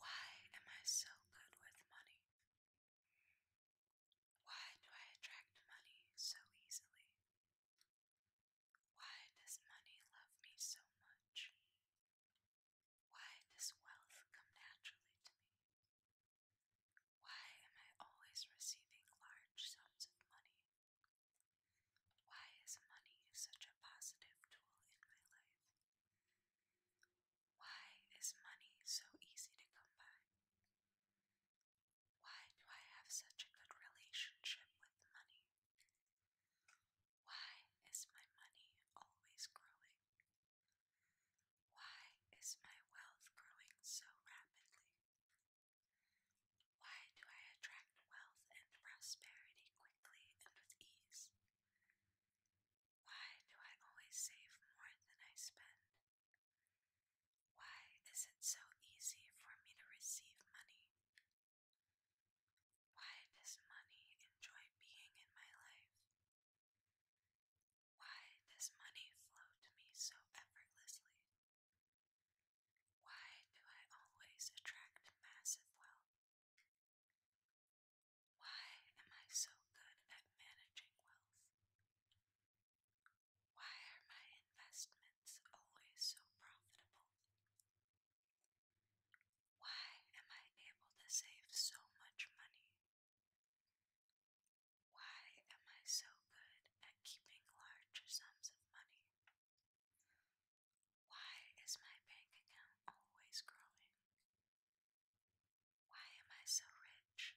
Why am I so good with money? Why do I attract money so easily? Why does money love me so much? Why does wealth come naturally to me? Why am I always receiving large sums of money? Why is money such a positive tool in my life? Why is money so easy to come by? Why do I have such a good relationship with money? Why is my money always growing? Why is my wealth growing so rapidly? Why do I attract wealth and prosperity quickly and with ease? Why do I always save more than I spend? Why is it so easy for me to receive money? Why does money enjoy being in my life? Why does money flow to me so effortlessly? Why do I always attract massive wealth? Why am I so good at managing wealth? Why are my investments always so profitable? Why am I able to save so much money? Why am I so good at keeping large sums of money? Why is my bank account always growing? Why am I so rich?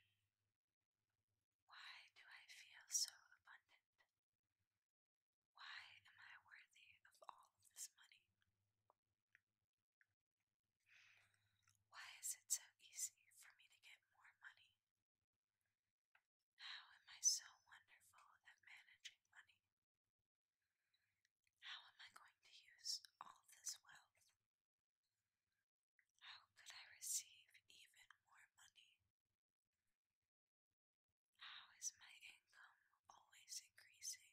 Why do I feel so abundant? Why am I worthy of all of this money? Why is it so easy for me to get more money? How am I so wonderful at managing money? How am I going to use all this wealth? How could I receive even more money? How is my income always increasing?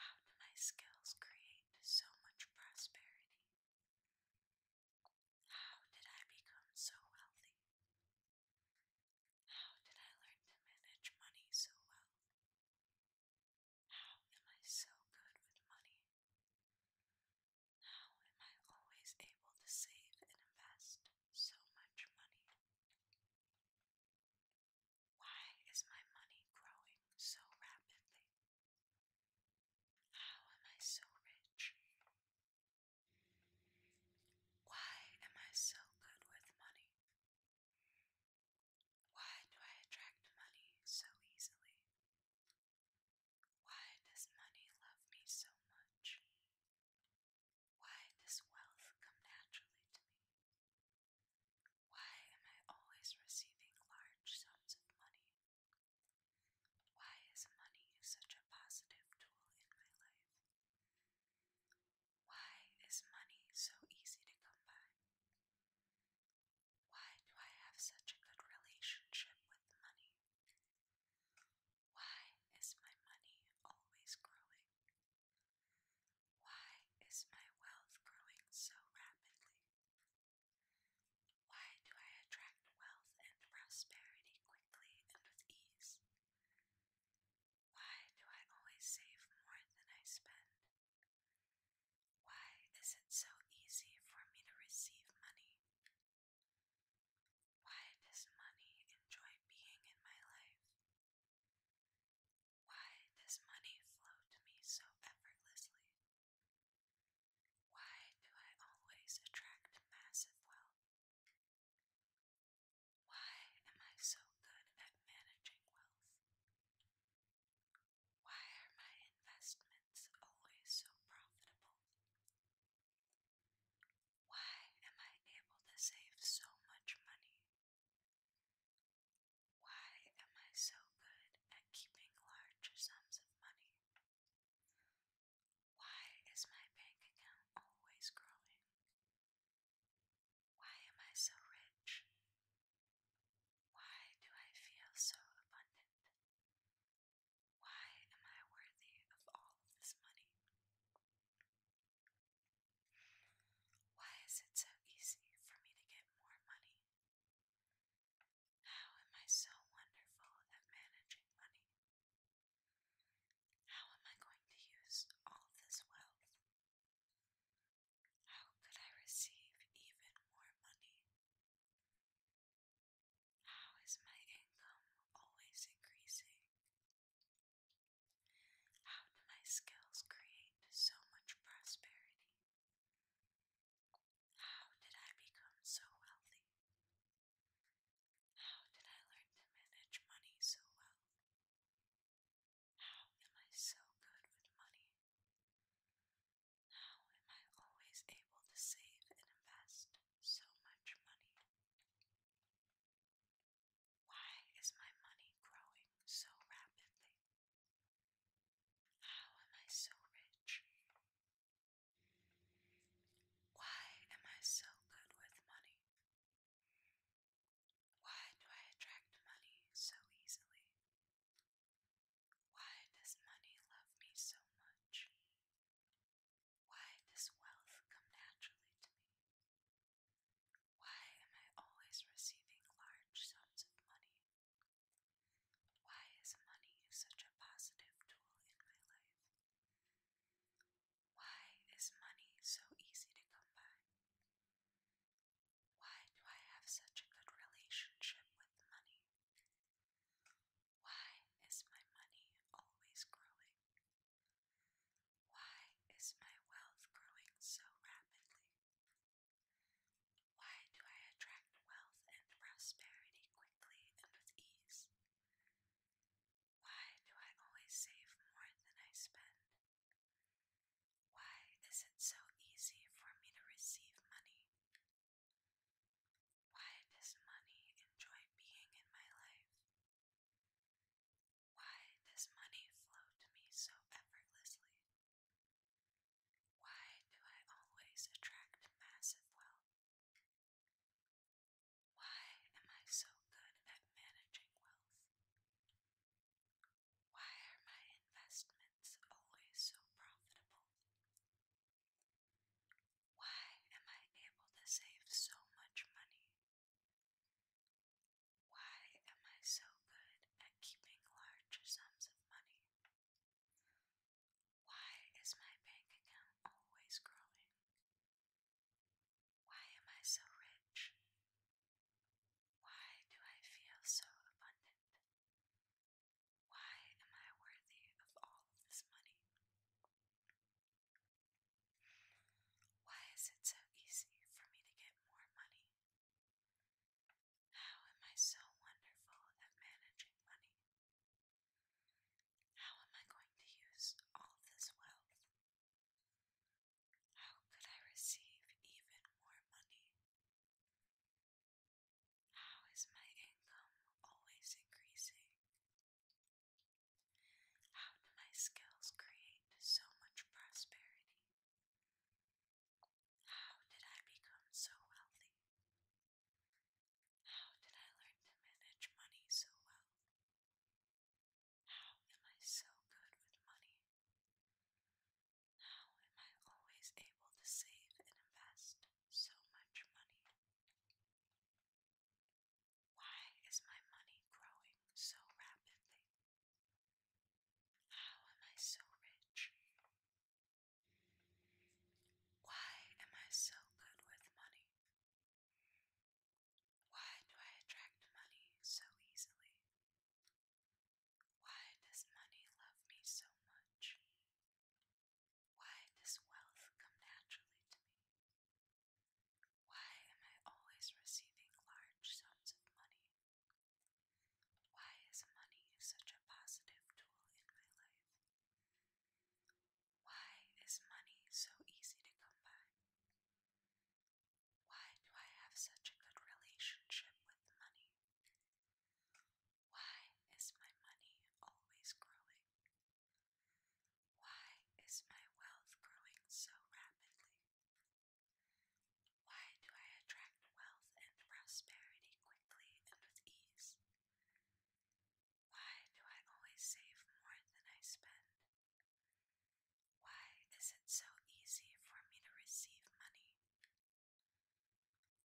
How do my skills create so much prosperity? How did I become so wealthy? How did I learn to manage money so well? How am I so good with money? How am I always able to save and invest so much money? Why is my money growing so rapidly? How am I so rich? Why am I so good with money? Why do I attract money so easily? Why does money love me so much? Why does wealth come naturally to me? Why am I always receiving large sums of money? Why is money such a positive tool in my life? Why is money so easy to come by? Why do I have such a good relationship with money? Why is my money always growing? Why is my wealth growing so rapidly? Why do I attract wealth and prosperity quickly and with ease? Why do I always save more than I spend? Why is it so easy for me to receive money? Why does money enjoy being in my life? Why does money flow to me so effortlessly? Why do I always attract massive wealth? Why am I so good at managing wealth? Why are my investments always so profitable? Why am I able to save so much money? Why am I so good at keeping large sums of money? Why is my bank account always growing? Why am I so rich? Why do I feel so abundant? Why am I worthy of all this money? Why is it so easy for me to get more money? How am I so wonderful at managing money? How am I going to use all this wealth how could I receive even more money? How is my income always increasing? How do my skills create so much prosperity? How did I become so wealthy? How did I learn to manage money so well? How am I so good with money? How am I always able to save and invest so much money? Why is my money growing so rapidly? How am I so rich? Why am I so good with money? Why do I attract money so easily? Why does money love me so much? Why does wealth come naturally to me? Why am I always receiving large sums of money? Why is money such a positive tool in my life? Why is money so easy to come by? Why do I have such a good relationship with money? Why is my money always growing? Why is my wealth growing so rapidly? Why do I attract wealth and prosperity quickly and with ease? Why do I always save more than I spend? Why is it so easy for me to receive money? Why does money enjoy being in my life? Why does money flow to me so effortlessly? Why do I always attract massive wealth? Why am I so good at managing wealth? Why are my investments always so profitable? Why am I able to save so much money? Why am I so good at keeping large sums of money? Why is my bank account always growing? Why am I so rich? Why do I feel so abundant? Why am I worthy of all this money? Why is it so easy for me to get more money? How am I so wonderful at managing money? How am I going to use all this wealth? How could I receive even more money? How is my income always increasing? How do my skills create so much prosperity? How did I become so wealthy? How did I learn to manage money so well? How am I so good with money? How am I always able to save and invest so much money? Why is my money growing so rapidly? How am I so rich? Why am I so good with money? Why do I attract money so easily? Why does money love me so much? Why does wealth come naturally to me? Why am I always receiving large sums of money? Why is money such a positive tool in my life? Why is money so easy to come by? Why do I have such a good relationship with money? Why is my money always growing? Why is my wealth growing so rapidly? Why do I attract wealth and prosperity quickly and with ease? Why do I always save more than I spend? Why is it so easy for me to receive money?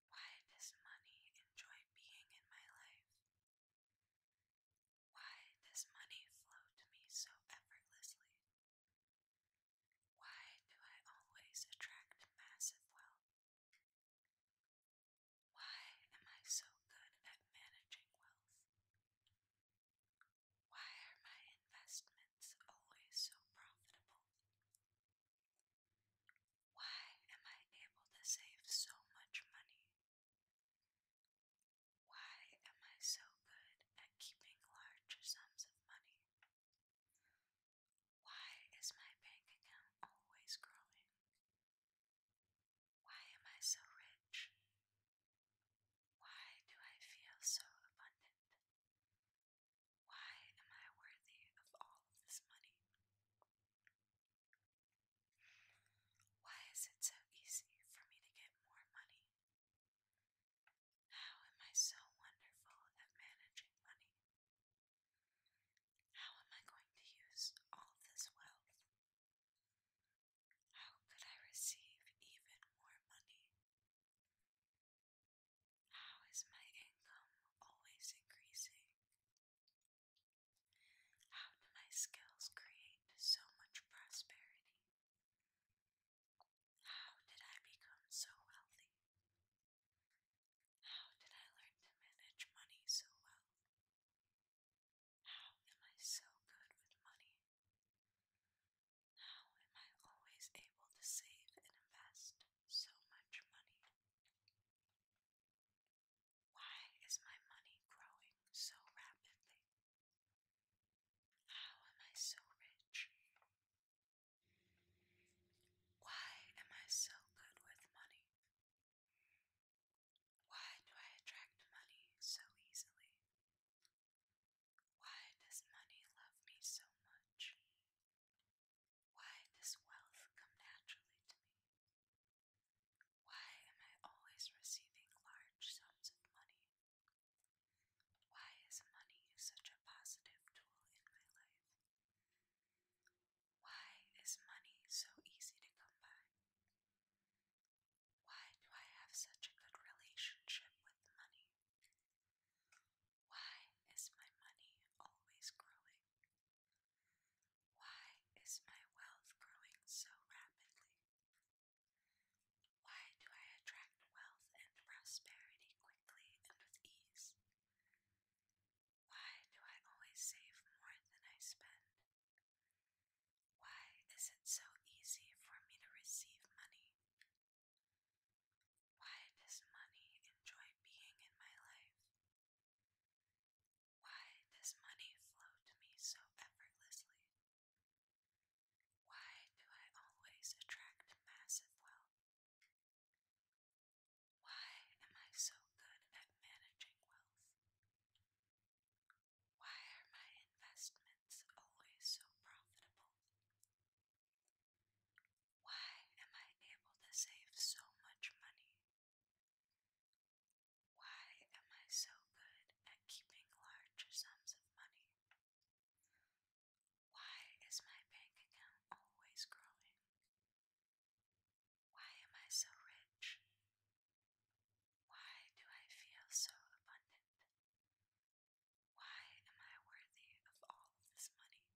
Why does money enjoy being in my life? Why does money flow to me so effortlessly? Why do I always attract massive wealth? Why am I so good at managing wealth? Why are my investments always so profitable? Why am I able to save so much money? Why am I so good at keeping large sums of money? Why is my bank account always growing? Why am I so rich? Why do I feel so abundant? Why am I worthy of all this money? Why is it so easy for me to get more money? How am I so wonderful at managing money? How am I going to use all this wealth? How could I receive even more money? How is my income always increasing? How do my skills create so much prosperity? How did I become so wealthy? How did I learn to manage money so well? How am I so good with money? How am I always able to save and invest so much money? Why is my money growing so rapidly? How am I so rich? Why am I so good with money? Why do I attract money so easily? Why does money love me so much? Why does wealth come naturally to me? Why am I always receiving large sums of money? Why is money such a positive tool in my life? Why is money so easy to come by? Why do I have such a good relationship with money? Why is my money always growing? Why is my wealth growing so rapidly? Why do I attract wealth and prosperity quickly and with ease? Why do I always save more than I spend? Why is it so easy for me to receive money why does money enjoy being in my life? Why does money flow to me so effortlessly? Why do I always attract massive wealth? Why am I so good at managing wealth? Why are my investments always so profitable? Why am I able to save so much money? Why am I so good at keeping larger sums of money? Why is my bank account always growing? Why am I so rich? Why do I feel so abundant? Why am I worthy of all this money?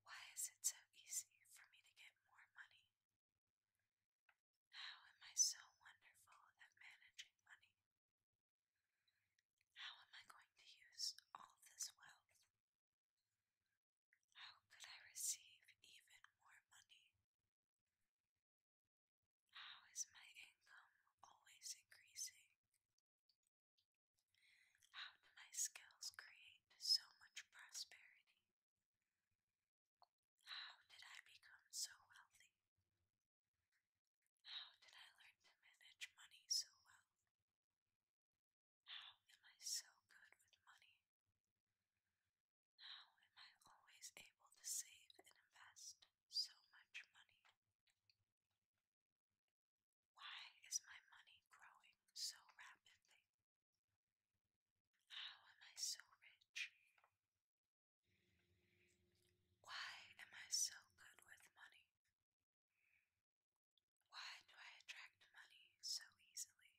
Why is it so easy for me to get more money? How am I so wonderful at managing money? How am I going to use all this wealth? How could I receive even more money? How is my income always increasing? How do my skills create so much prosperity? How did I become so wealthy? How did I learn to manage money so well? How am I so good with money? How am I always able to save and invest? so much money? Why is my money growing so rapidly? How am I so rich? Why am I so good with money? Why do I attract money so easily?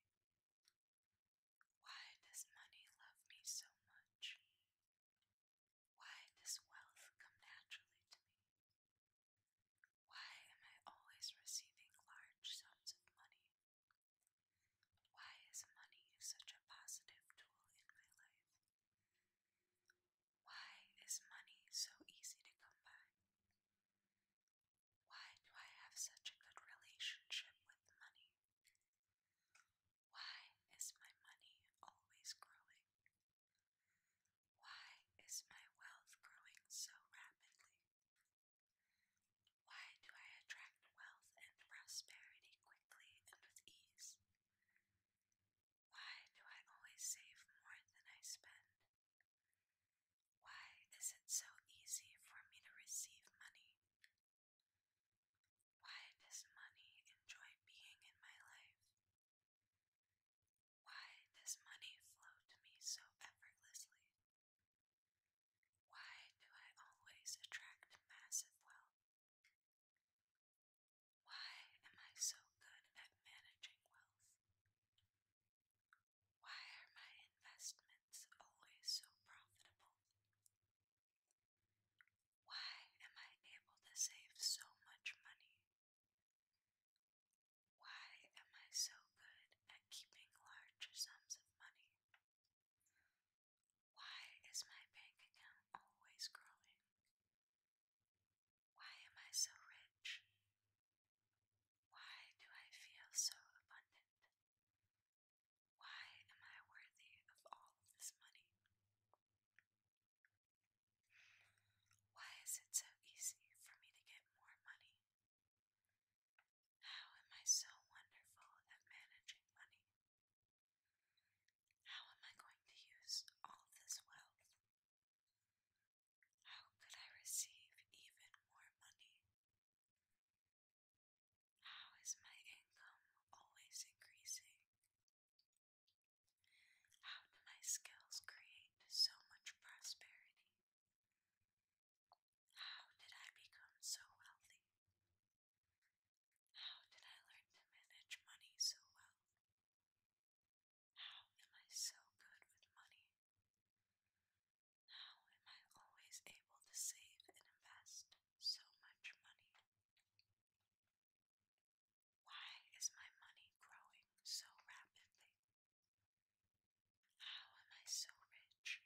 Why does money love me so much? Why does wealth come naturally to me? Why am I always receiving large sums of money? Why is money such a positive tool in my life? Why is money so easy to come by? Why do I have such a good relationship with money? Why is my money always growing? Why is my wealth growing so rapidly? Why do I attract wealth and prosperity quickly and with ease? Why do I always save more than I spend? Why is it so easy for me to receive money? Why does money enjoy being in my life? Why does money flow to me so effortlessly? Why do I always attract massive wealth? Why am I so good at managing wealth? Why are my investments always so profitable? Why am I able to save so much money? Why am I so good at keeping larger sums of money? Why is my bank account always growing? Why am I so rich? Why do I feel so abundant? Why am I worthy of all this money? Why is it so easy for me to get more money? How am I so wonderful at managing money? How am I going to use all this wealth? How could I receive even more money? How is my income always increasing? How do my skills create so much prosperity? How did I become so wealthy? How did I learn to manage money so well? How am I so good with money? How am I always able to save and invest so much money? Why is my money growing so rapidly? How am I so rich?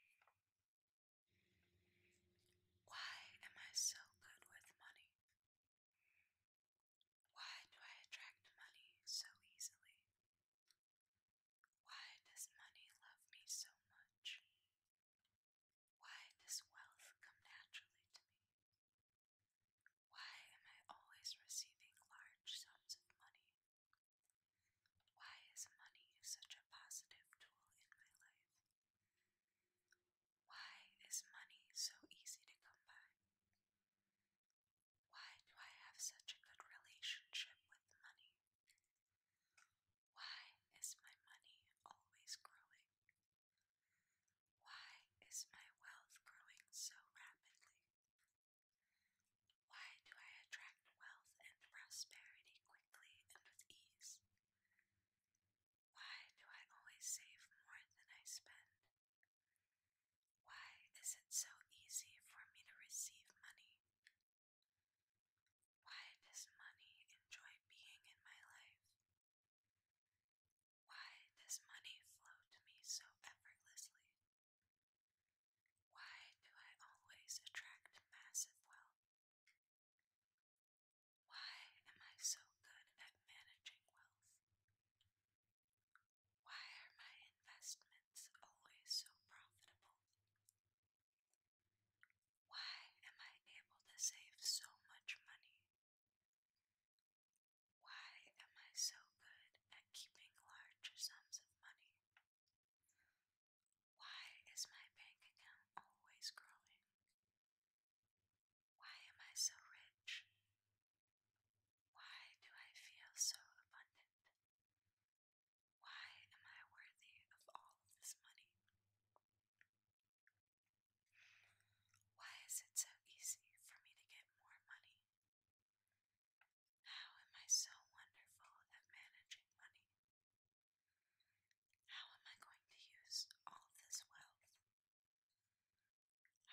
Why am I so good with money? Why do I attract money so easily? Why does money love me so much? Why does wealth come naturally to me? Why am I always receiving large sums of money? Why is money such a positive tool in my life? Why is money so easy to come by? Why do I have such a good relationship with money? Why is my money always growing? Why is my wealth growing so rapidly? Why do I attract wealth and prosperity quickly and with ease? Why do I always save more than I spend? Why is it so easy for me to receive money? Why does money enjoy being in my life? Why does money flow to me so effortlessly? Why do I always attract massive wealth? Why am I so good at managing wealth? Why are my investments always so profitable? Why am I able to save so much money why am I so good at keeping larger sums of money? Why is my bank account always growing? Why am I so rich? Why do I feel so abundant? Why am I worthy of all this money? Why is it so easy for me to get more money? How am I so wonderful at managing money? How am I going to use all this wealth?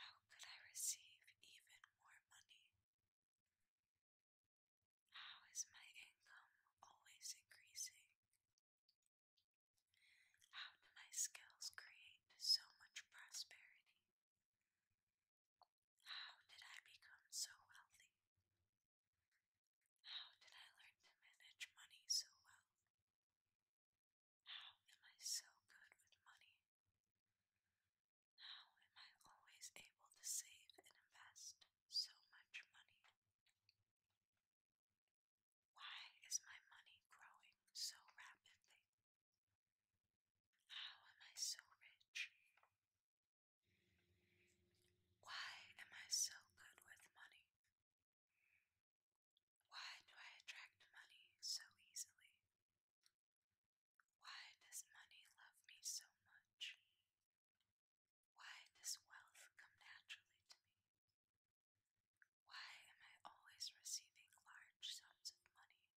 How could I receive even more money? How is my income always increasing? How do my skills create so much prosperity? How did I become so wealthy? How did I learn to manage money so well? How am I so good with money? How am I always able to save and invest so much money? Why is my money growing so rapidly? How am I so rich? Why am I so good with money? Why do I attract money so easily? Why does money love me so much? Why does wealth come naturally to me? Why am I always receiving large sums of money?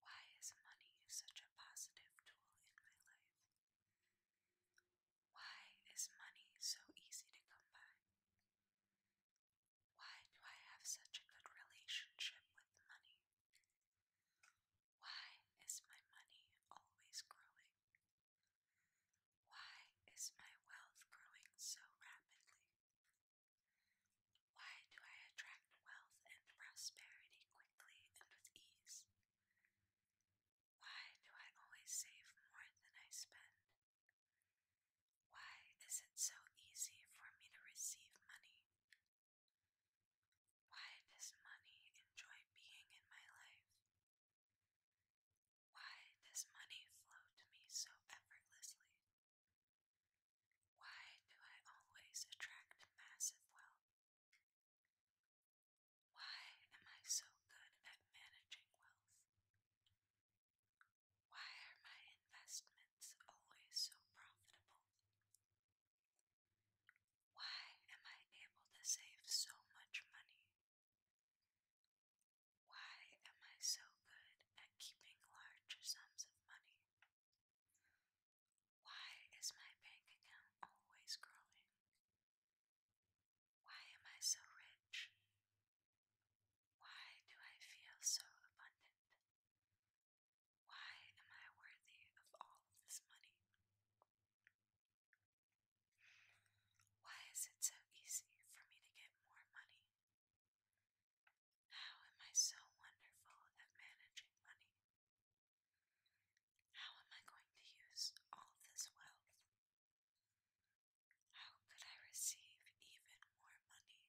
Why is money such a positive tool in my life? Why is money so easy to come by? Why do I have such a good relationship with money? Why is my money always growing? Why is my wealth growing so rapidly? Why do I attract wealth and prosperity quickly and with ease? Why do I always save more than I spend? Why is it so easy for me to receive money? Why does money enjoy being in my life? Why does money flow to me so effortlessly? Why do I always attract massive wealth? Why am I so good at managing wealth? Why are my investments always so profitable? Why am I able to save so much money? Why am I so good at keeping larger sums of money? Why is my bank account always growing? Why am I so rich? Why do I feel so abundant? Why am I worthy of all of this money? Why is it so easy for me to get more money? How am I so wonderful at managing money? How am I going to use all this wealth? How could I receive even more money?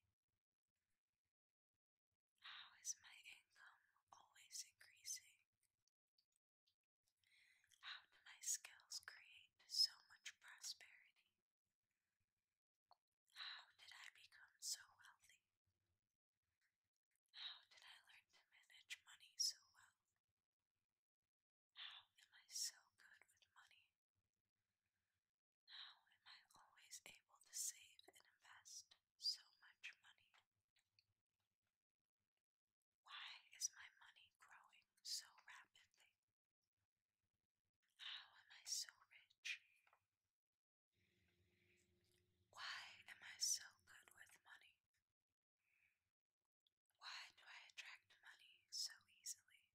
How is my income always increasing? How do my skills create so much prosperity? How did I become so wealthy? How did I learn to manage money so well? How am I so good with money? How am I always able to save and invest so much money? Why is my money growing so rapidly? How am I so rich? Why am I so good with money? Why do I attract money so easily?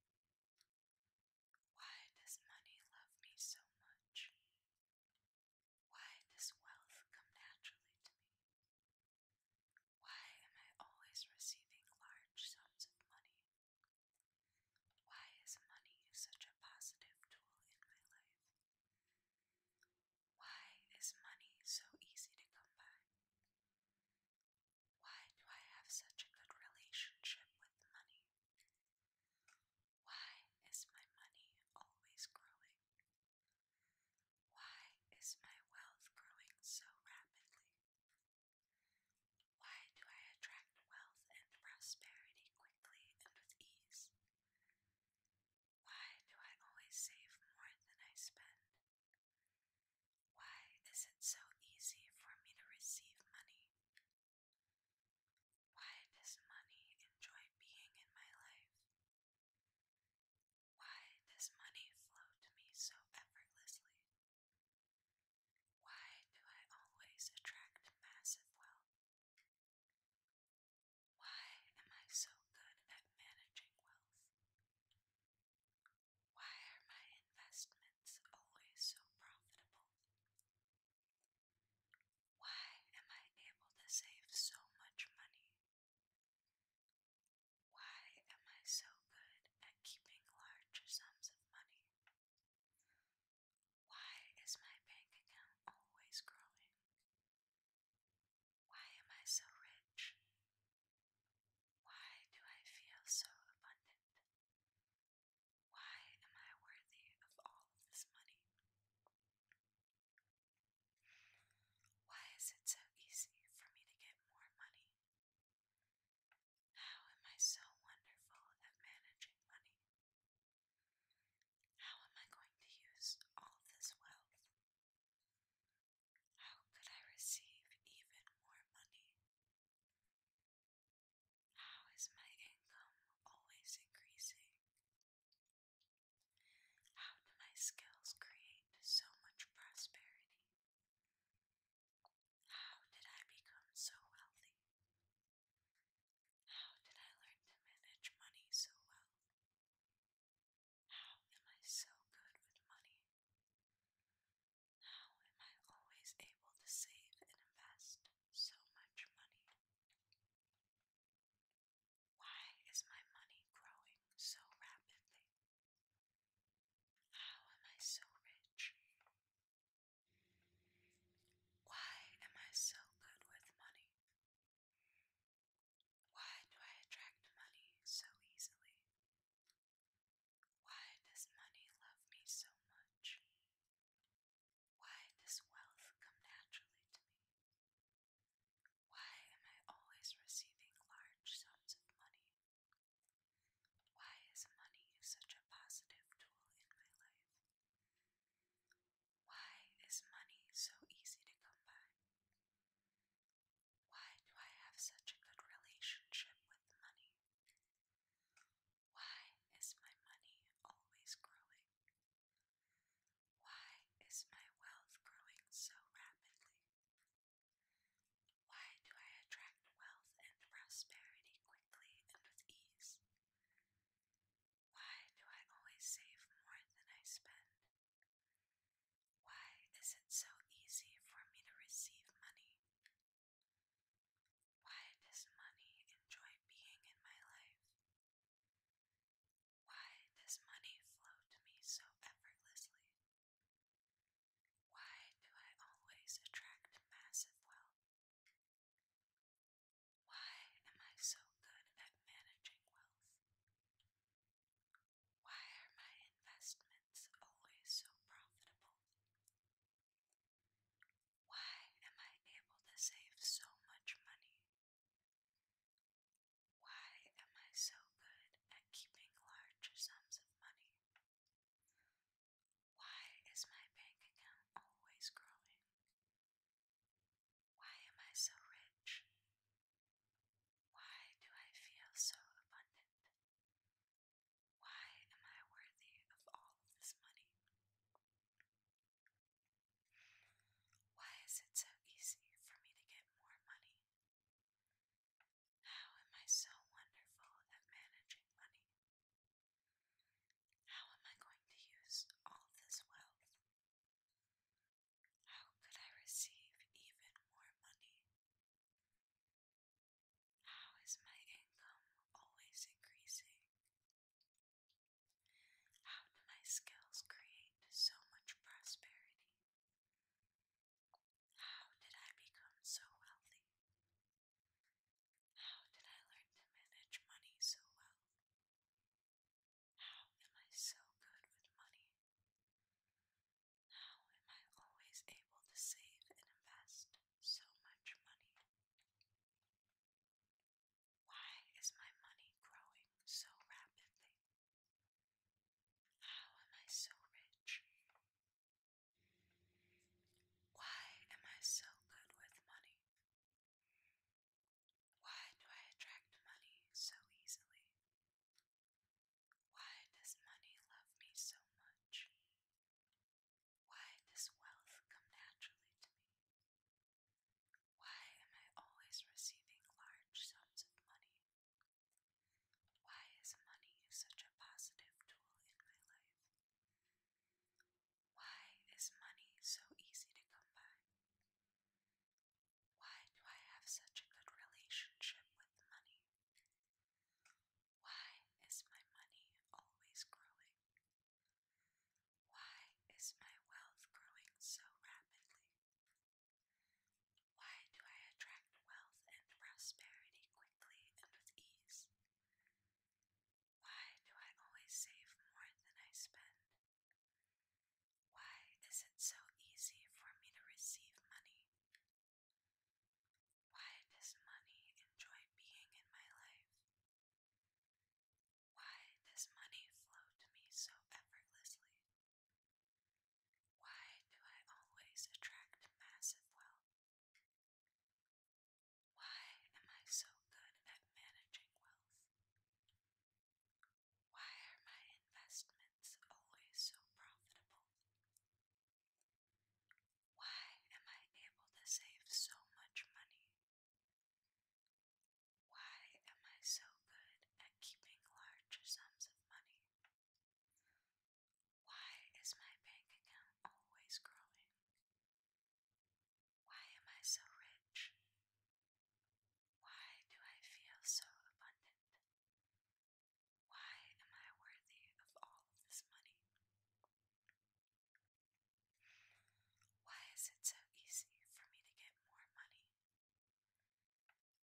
Why does money love me so much? Why does wealth come naturally to me? Why am I always receiving large sums of money? Why is money such a positive tool in my life? Why is money so easy to come by? Why do I have such a good relationship with money? Why is my money always growing? Why is my wealth growing so rapidly? Why do I attract wealth and prosperity quickly and with ease? Why do I always save more than I spend? Why is it so easy for me to receive money? Why does money enjoy being in my life? Why does money flow to me so effortlessly? Why do I always attract massive wealth? Why am I so good at managing wealth? Why are my investments always so profitable? Why am I able to save so much money? Why am I so good at keeping large sums of money? Why is my bank account always growing? Why am I so rich? Why do I feel so abundant? Why am I worthy of all this money? Why is it so easy for me to get more money? How am I so wonderful at managing money? How am I going to use all this wealth? How could I receive even more money? How is my income always increasing? How do my skills create so much prosperity? How did I become so wealthy? How did I learn to manage money so well? How am I so good with money? How am I always able to save and invest so much money? Why is my money growing so rapidly? How am I so rich? Why am I so good with money? Why do I attract money so easily? Why does money love me so much? Why does wealth come naturally to me? Why am I always receiving large sums of money? Why is money such a positive tool in my life? Why is money so easy to come by? Why do I have such a good relationship with money? Why is my money always growing? Why is my wealth growing so rapidly? Why do I attract wealth and prosperity quickly and with ease. Why do I always save more than I spend? Why is it so easy for me to receive money? Why does money enjoy being in my life? Why does money flow to me so effortlessly? Why do I always attract massive wealth? Why am I so good at managing wealth? Why are my investments always so profitable? Why am I able to save so much money? Why am I so good at keeping large sums of money? Why is my bank account always growing? Why am I so rich? Why do I feel so abundant? Why am I worthy of all of this money? Why is it so easy for me to get more money? How am I so wonderful at managing money? How am I going to use all this wealth? How could I receive even more money? How is my income always increasing? How do my skills create so much prosperity? How did I become so wealthy? How did I learn to manage money so well? How am I so good with money? How am I always able to save and invest so much money? Why is my money growing so rapidly? How am I so rich? Why am I so good with money? Why do I attract money so easily? Why does money love me so much? Why does wealth come naturally to me? Why am I always receiving large sums of money? Why is money such a positive tool in my life? Why is money so easy to come by? Why do I have such a good relationship with money? Why is my money always growing? Why is my wealth growing so rapidly? Why do I attract wealth and prosperity quickly and with ease? Why do I always save more than I spend? Why is it so easy for me to receive money? Why does money enjoy being in my life? Why does money flow to me so effortlessly? Why do I always attract massive wealth? Why am I so good at managing wealth? Why are my investments always so profitable? Why am I able to save so much money? Why am I so good at keeping large sums of money? Why is my bank account always growing? Why am I so rich? Why do I feel so abundant? Why am I worthy of all this money? Why is it so easy for me to get more money?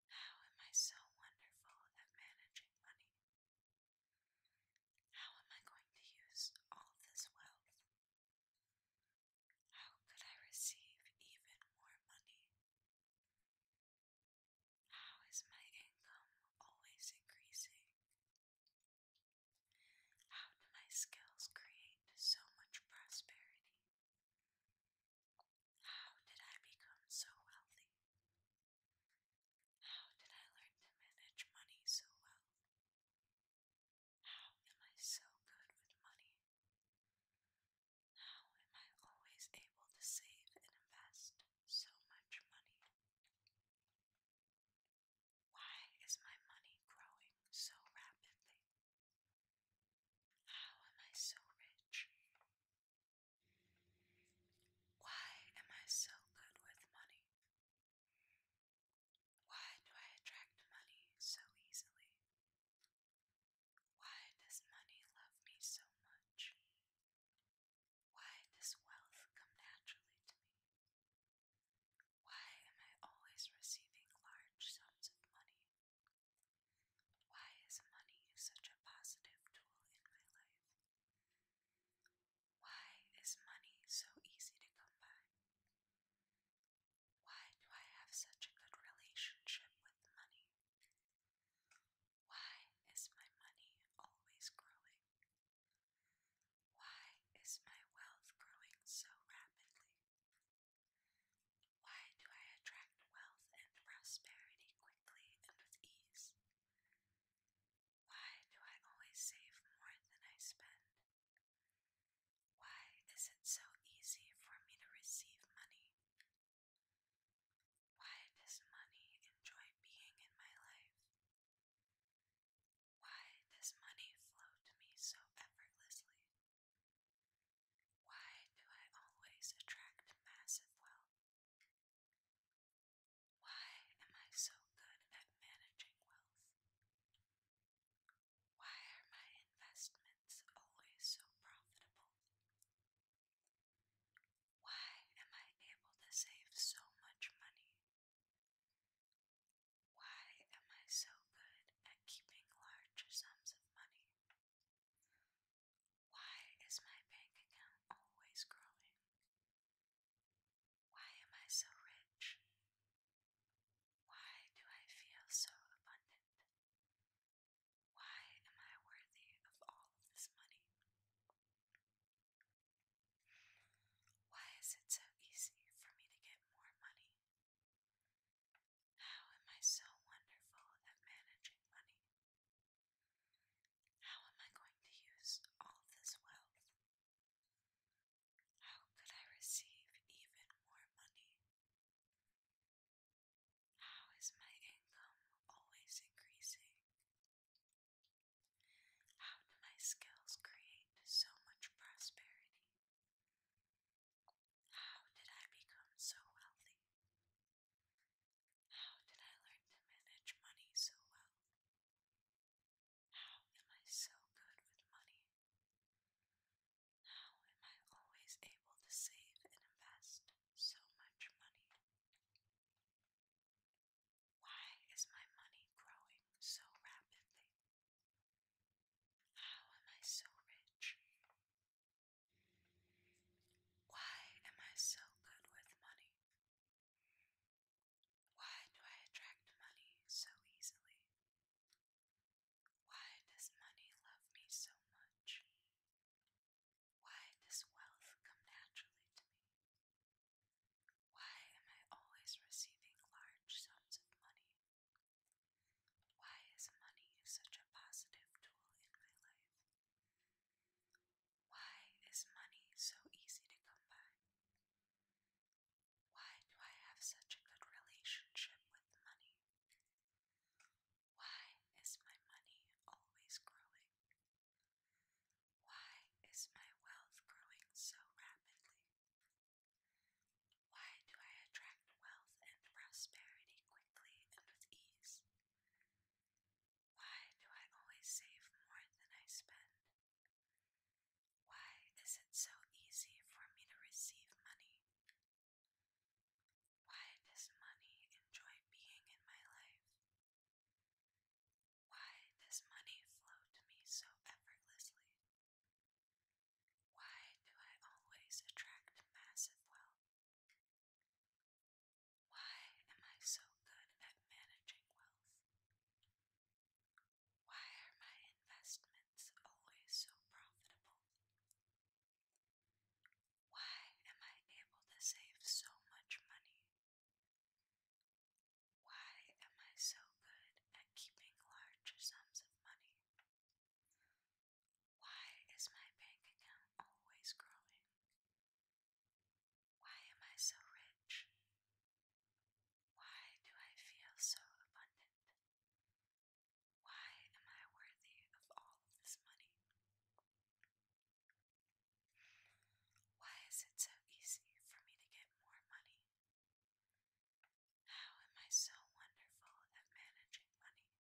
How am I so wonderful at managing money? How am I going to use all this wealth? How could I receive even more money? How is my income always increasing? How do my skills create so much prosperity? How did I become so wealthy? How did I learn to manage money so well? How am I so good with money? How am I always able to save and invest so much money? Why is my money growing so rapidly? How am I so rich? Why am I so good with money? Why do I attract money so easily? Why does money love me so much? Why does wealth come naturally to me? Why am I always receiving large sums of money? Why is money such a positive tool in my life? Why is money so easy to come by? Why do I have such a good relationship with money? Why is my money always growing? Why is my wealth growing so rapidly? Why do I attract wealth and prosperity quickly and with ease? Why do I always save more than I spend? Why is it so easy for me to receive money? Why does money enjoy being in my life? Why does money flow to me so effortlessly? Why do I always attract massive wealth? Why am I so good at managing wealth? Why are my investments always so profitable? Why am I able to save so much money? Why am I so good at keeping large sums of money? Why is my bank account always growing? Why am I so rich? Why do I feel so abundant? Why am I worthy of all this money? Why is it so easy for me to get more money? How am I so wonderful at managing money? How am I going to use all of this wealth how could I receive even more money? How is my income always increasing? How do my skills create so much prosperity? How did I become so wealthy? How did I learn to manage money so well? How am I so good with money? How am I always able to save and invest so much money? Why is my money growing so rapidly? How am I so rich? Why am I so good with money? Why do I attract money so easily? Why does money love me so much? Why does wealth come naturally to me? Why am I always receiving large sums of money? Why is money such a positive tool in my life? Why is money so easy to come by? Why do I have such a good relationship with money? Why is my money always growing? Why is my wealth growing so rapidly? Why do I attract wealth and prosperity quickly and with ease? Why do I always save more than I spend? Why is it so easy for me to receive money? Why does money enjoy being in my life? Why does money flow to me so effortlessly? Why do I always attract massive wealth? Why am I so good at managing wealth? Why are my investments always so profitable? Why am I able to save so much money? Why am I so good at keeping larger sums of money? Why is my bank account always growing? Why am I so rich? Why do I feel so abundant? Why am I worthy of all this money? Why is it so easy for me to get more money? How am I so wonderful at managing money?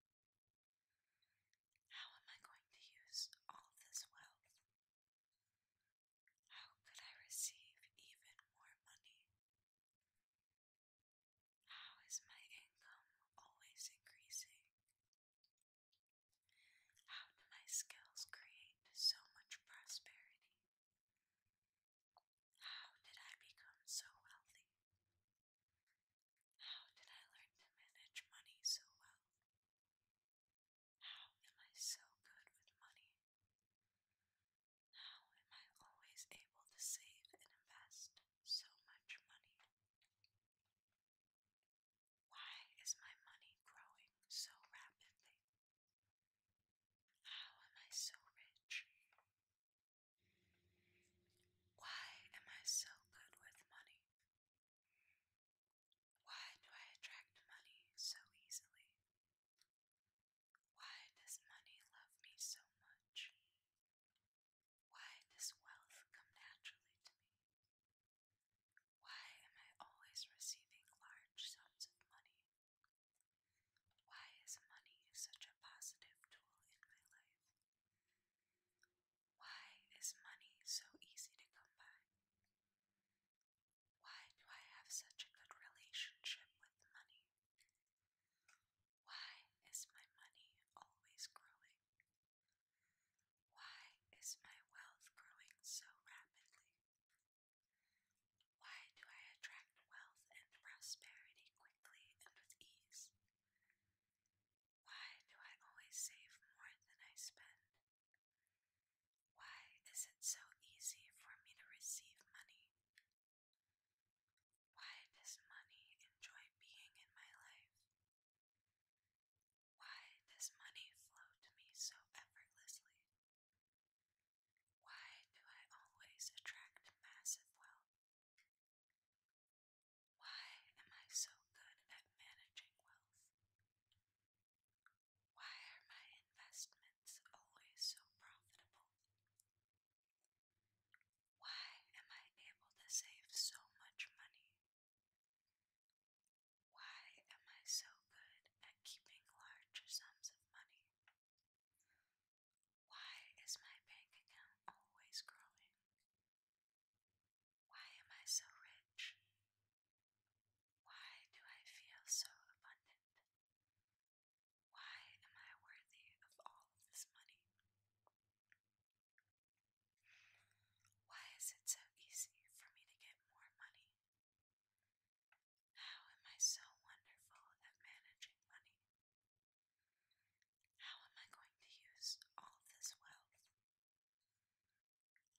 How am I going to use all this wealth? How could I receive even more money? How is my income always increasing? How do my skills create so much prosperity? How did I become so wealthy? How did I learn to manage money so well? How am I so good with money? How am I always able to save and invest so much money? Why is my money growing so rapidly? How am I so rich? Why am I so good with money? Why do I attract money so easily? Why does money love me so much? Why does wealth come naturally to me? Why am I always receiving large sums of money? Why is money such a positive tool in my life? Why is money so easy to come by? Why do I have such a good relationship with money? Why is my money always growing? Why is my wealth growing so rapidly? Why do I attract wealth and prosperity quickly and with ease? Why do I always save more than I spend? Why is it so easy for me to receive money why does money enjoy being in my life? Why does money flow to me so effortlessly? Why do I always attract massive wealth? Why am I so good at managing wealth? Why are my investments? it's always so profitable. Why am I able to save so much money? Why am I so good at keeping larger sums of money? Why is my bank account always growing? Why am I so rich? Why do I feel so abundant? Why am I worthy of all this money? Why is it so easy for me to get more money? How am I so wonderful at managing money? How am I going to use all this wealth?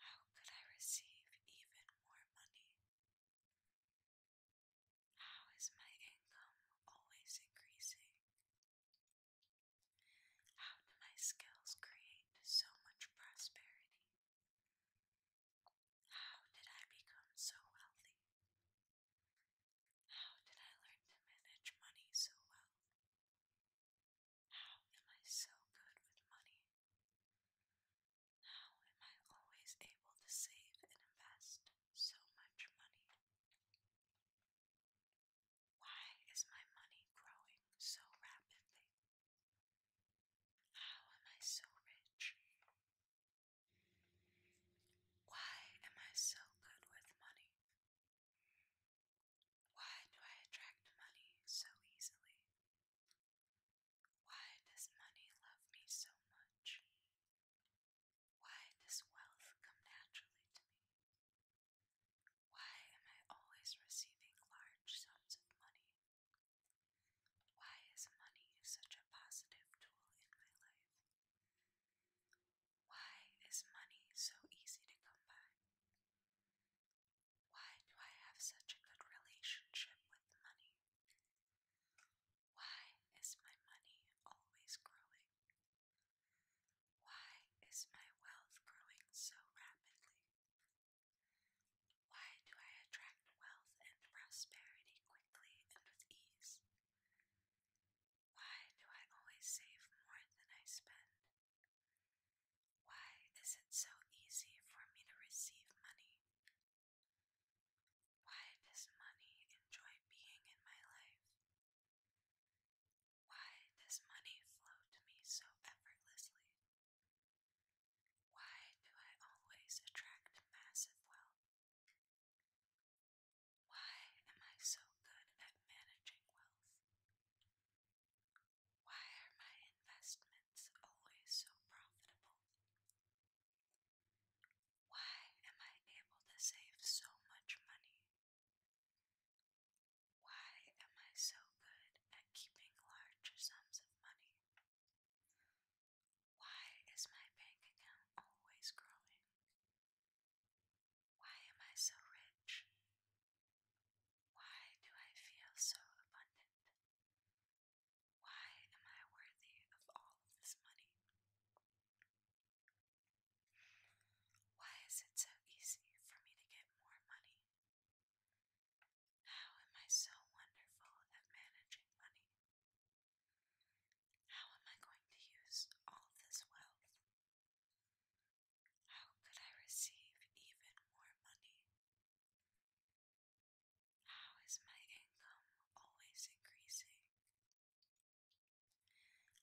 How could I receive even more money? How is my income always increasing? How do my skills create so much prosperity? How did I become so wealthy? How did I learn to manage money so well? How am I so good with money? How am I always able to save and invest so much money? Why is my money growing so rapidly? How am I so rich? Why am I so good with money? Why do I attract money so easily? Why does money love me so much? Why does wealth come naturally to me? Why am I always receiving large sums of money? Why is money such a positive tool in my life? Why is money so easy to come by? Why do I have such a good relationship with money? Why is my money always growing? Why is my wealth growing so rapidly? Why do I attract wealth and prosperity quickly and with ease? Why do I always save more than I spend? Why is it so easy for me to receive money why does money enjoy being in my life? Why does money flow to me so effortlessly? Why do I always attract massive wealth? Why am I so good at managing wealth? Why are my investments always so profitable? Why am I able to save so much money? Why am I so good at keeping larger sums of money? Why is my bank account always growing? Why am I so rich? Why do I feel so abundant? Why am I worthy of all of this money? Why is it so easy for me to get more money? How am I so wonderful at managing money? How am I going to use all this wealth? How could I receive even more money? How is my income always increasing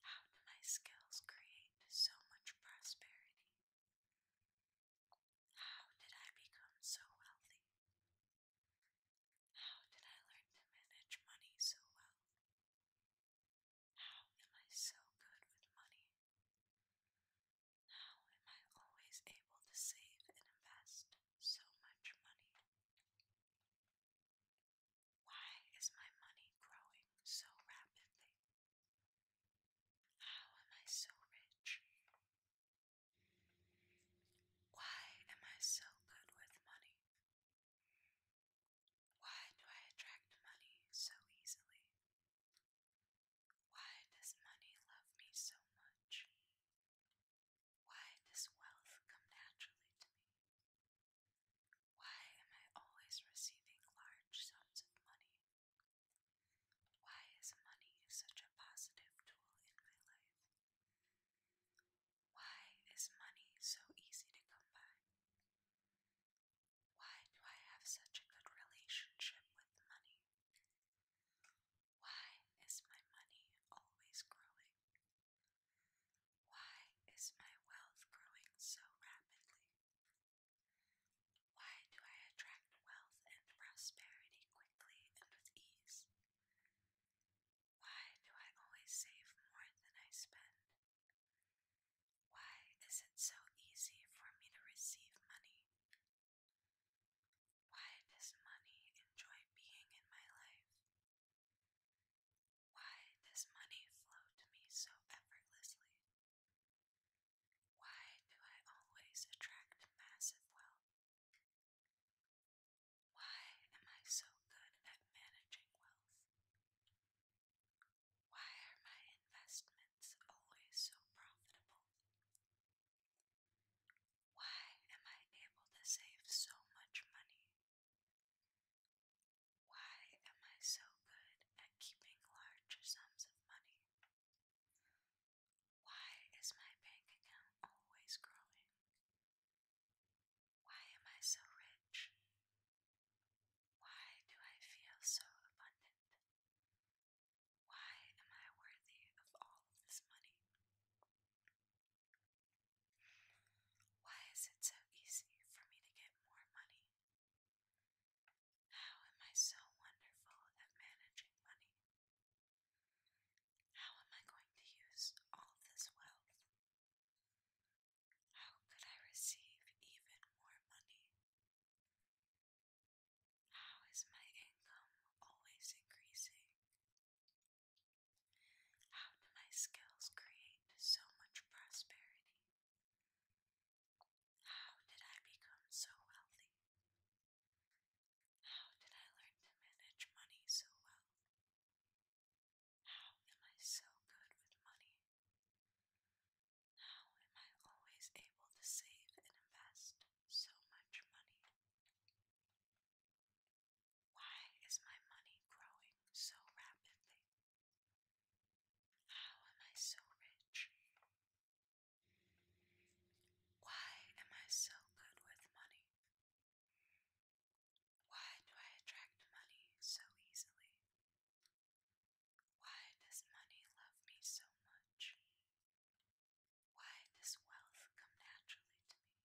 how do my skills create so much prosperity? How did I become so wealthy? How did I learn to manage money so well? How am I so good with money? How am I always able to save and invest so much money? Why is my money growing so rapidly? How am I so rich? Why am I so good with money? Why do I attract money so easily? Why does money love me so much? Why does wealth come naturally to me? Why am I always receiving large sums of money? Why is money such a positive tool in my life? Why is money so easy to come by? Why do I have such a good relationship with money? Why is my money always growing? Why is my wealth growing so rapidly? Why do I attract wealth and prosperity quickly and with ease? Why do I always save more than I spend? Why is it so easy for me to receive money? Why does money enjoy being in my life? Why does money flow to me so effortlessly? Why do I always attract massive wealth? Why am I so good at managing wealth? Why are my investments always so profitable? Why am I able to save so much money why am I so good at keeping larger sums of money? Why is my bank account always growing? Why am I so rich? Why do I feel so abundant? Why am I worthy of all this money? Why is it so easy for me to get more money? How am I so wonderful at managing money? How am I going to use all this wealth? How could I receive even more money? How is my income always increasing? How do my skills create so much prosperity? How did I become so wealthy? How did I learn to manage money so well? How am I so good with money? How am I always able to save and invest so much money? Why is my money growing so rapidly? How am I so rich? Why am I so good with money? Why do I attract money so easily? Why does money love me so much? Why does wealth come naturally to me?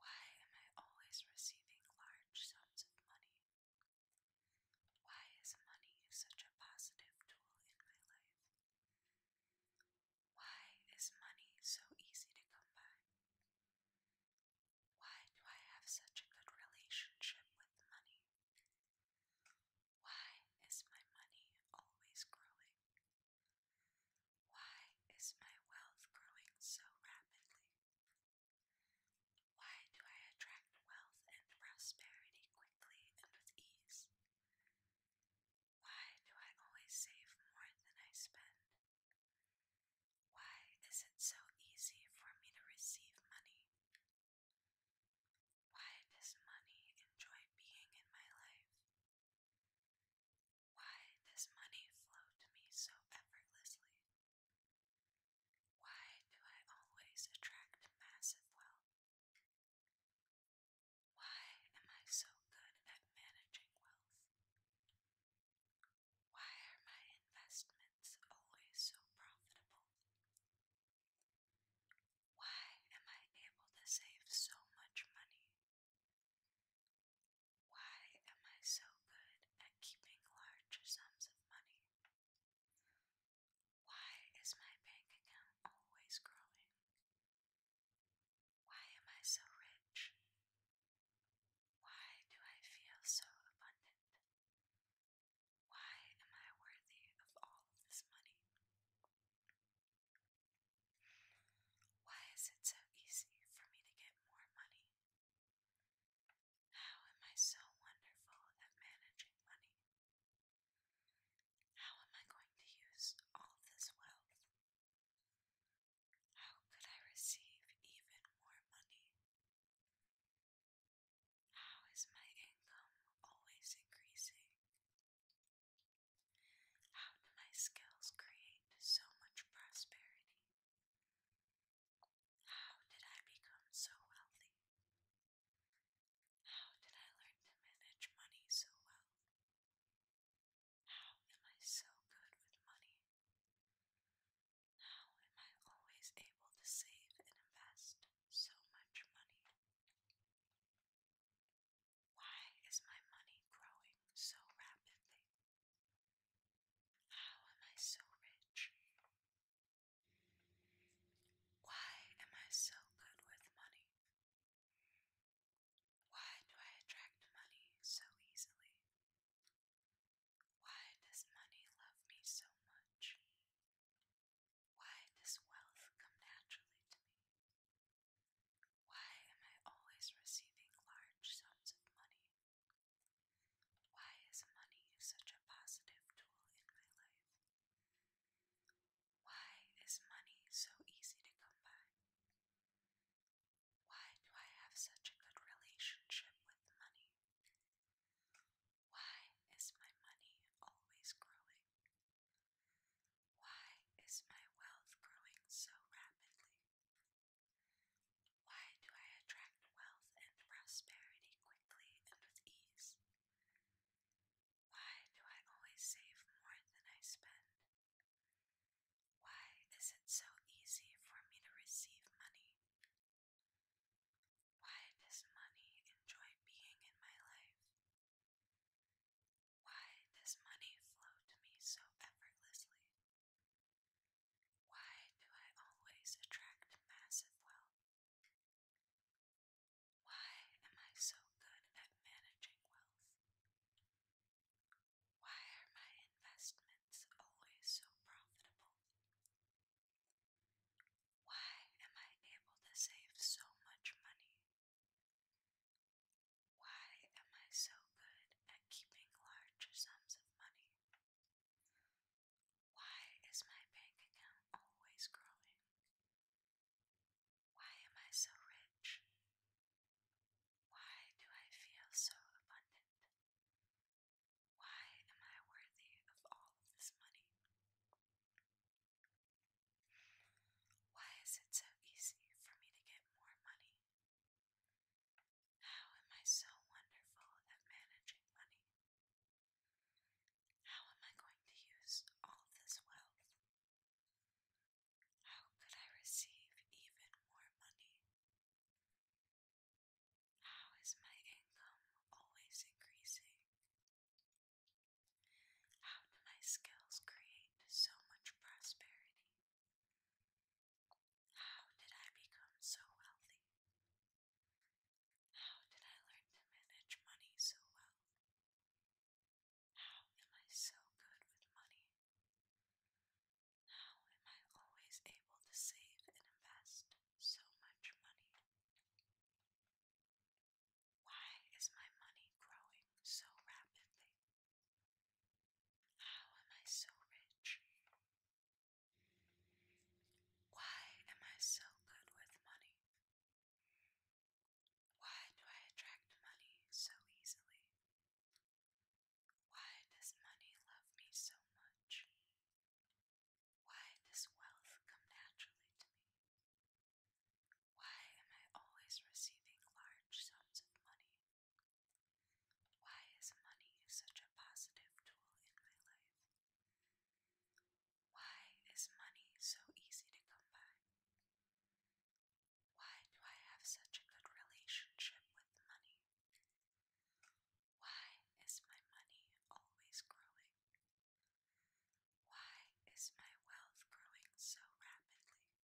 Why am I always receiving large sums of money? Why is money such a positive tool in my life? Why is money so easy to come by? Why do I have such a good relationship with money? Why is my money always growing? Why is my wealth growing so rapidly? Why do I attract wealth and prosperity quickly and with ease? Why do I always save more than I spend? Why is it so easy for me to receive money? Why does money enjoy being in my life? Why does money flow to me so effortlessly? Why do I always attract massive wealth? Why am I so good at managing wealth? Why are my investments always so profitable? Why am I able to save so much money? Why am I so good at keeping larger sums of money? Why is my bank account always growing? Why am I so rich? Why do I feel so abundant? Why am I worthy of all of this money? Why is it so easy for me to get more money? How am I so wonderful at managing money? How am I going to use all this wealth? How could I receive even more money? How is my income always increasing? How do my skills create so much prosperity? How did I become so wealthy? How did I learn to manage money so well? How am I so good with money? How am I always able to save and invest so much money? Why is my money growing so rapidly? How am I so rich? Why am I so good with money? Why do I attract money so easily? Why does money love me so much? Why does wealth come naturally to me? Why am I always receiving large sums of money? Why is money such a positive tool in my life? Why is money so easy to come by? Why do I have such a good relationship with money? Why is my money always growing? Why is my wealth growing so rapidly? Why do I attract wealth and prosperity quickly and with ease? Why do I always save more than I spend? Why is it so easy for me to receive money? Why does money enjoy being in my life? Why does money flow to me so effortlessly? Why do I always attract massive wealth? Why am I so good at managing wealth? Why are my investments always so profitable? Why am I able to save so much money? Why am I so good at keeping larger sums of money? Why is my bank account always growing? Why am I so rich? Why do I feel so abundant? Why am I worthy of all of this money? Why is it so easy for me to get more money? How am I so wonderful at managing money? How am I going to use all this wealth? How could I receive even more money? How is my income always increasing? How do my skills create so much prosperity? How did I become so wealthy? How did I learn to manage money so well? How am I so good with money? How am I always able to save and invest so much money? Why is my money growing so rapidly? How oh, am I so rich? Why am I so good with money? Why do I attract money so easily? Why does money love me so much? Why does wealth come naturally to me? Why am I always receiving large sums of money? Why is money such a positive tool in my life? Why is money so easy to come by? Why do I have such a good relationship with money? Why is my money always growing? Why is my wealth growing so rapidly?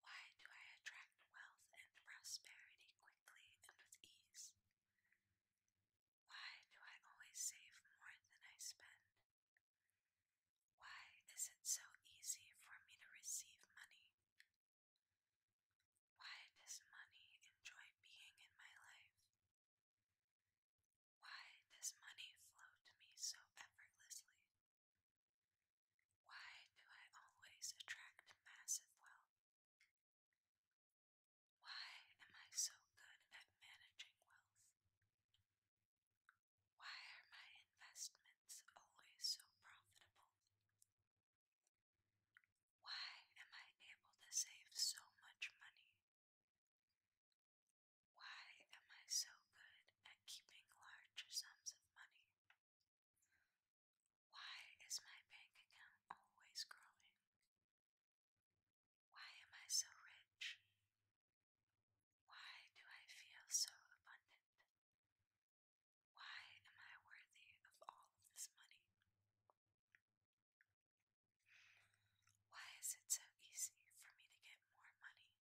Why do I attract wealth and prosperity quickly and with ease? Why do I always save more than I spend? Why is it so easy for me to receive money? Why does money enjoy being in my life? Why does money flow to me so effortlessly? Why do I always attract massive wealth? Why am I so good at managing wealth? Why are my investments always so profitable? Why am I able to save so much money? Why am I so good at keeping large sums of money? Why is my bank account always growing? Why am I so rich? Why do I feel so abundant? Why am I worthy of all this money? Why is it so easy for me to get more money?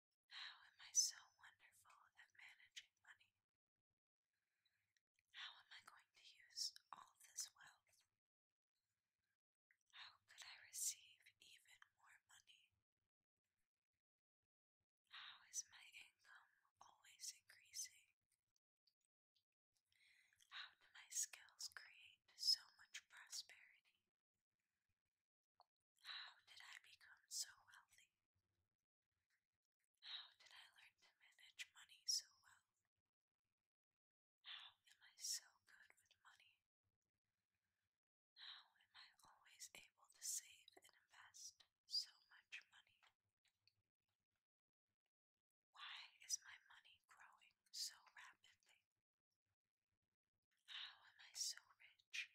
How am I so wonderful at managing money? How am I going to use all this wealth? How could I receive even more money? How is my income always increasing? How do my skills create so much prosperity? How did I become so wealthy? How did I learn to manage money so well? How am I so good with money? How am I always able to save and invest so much money? Why is my money growing so rapidly? How am I so rich?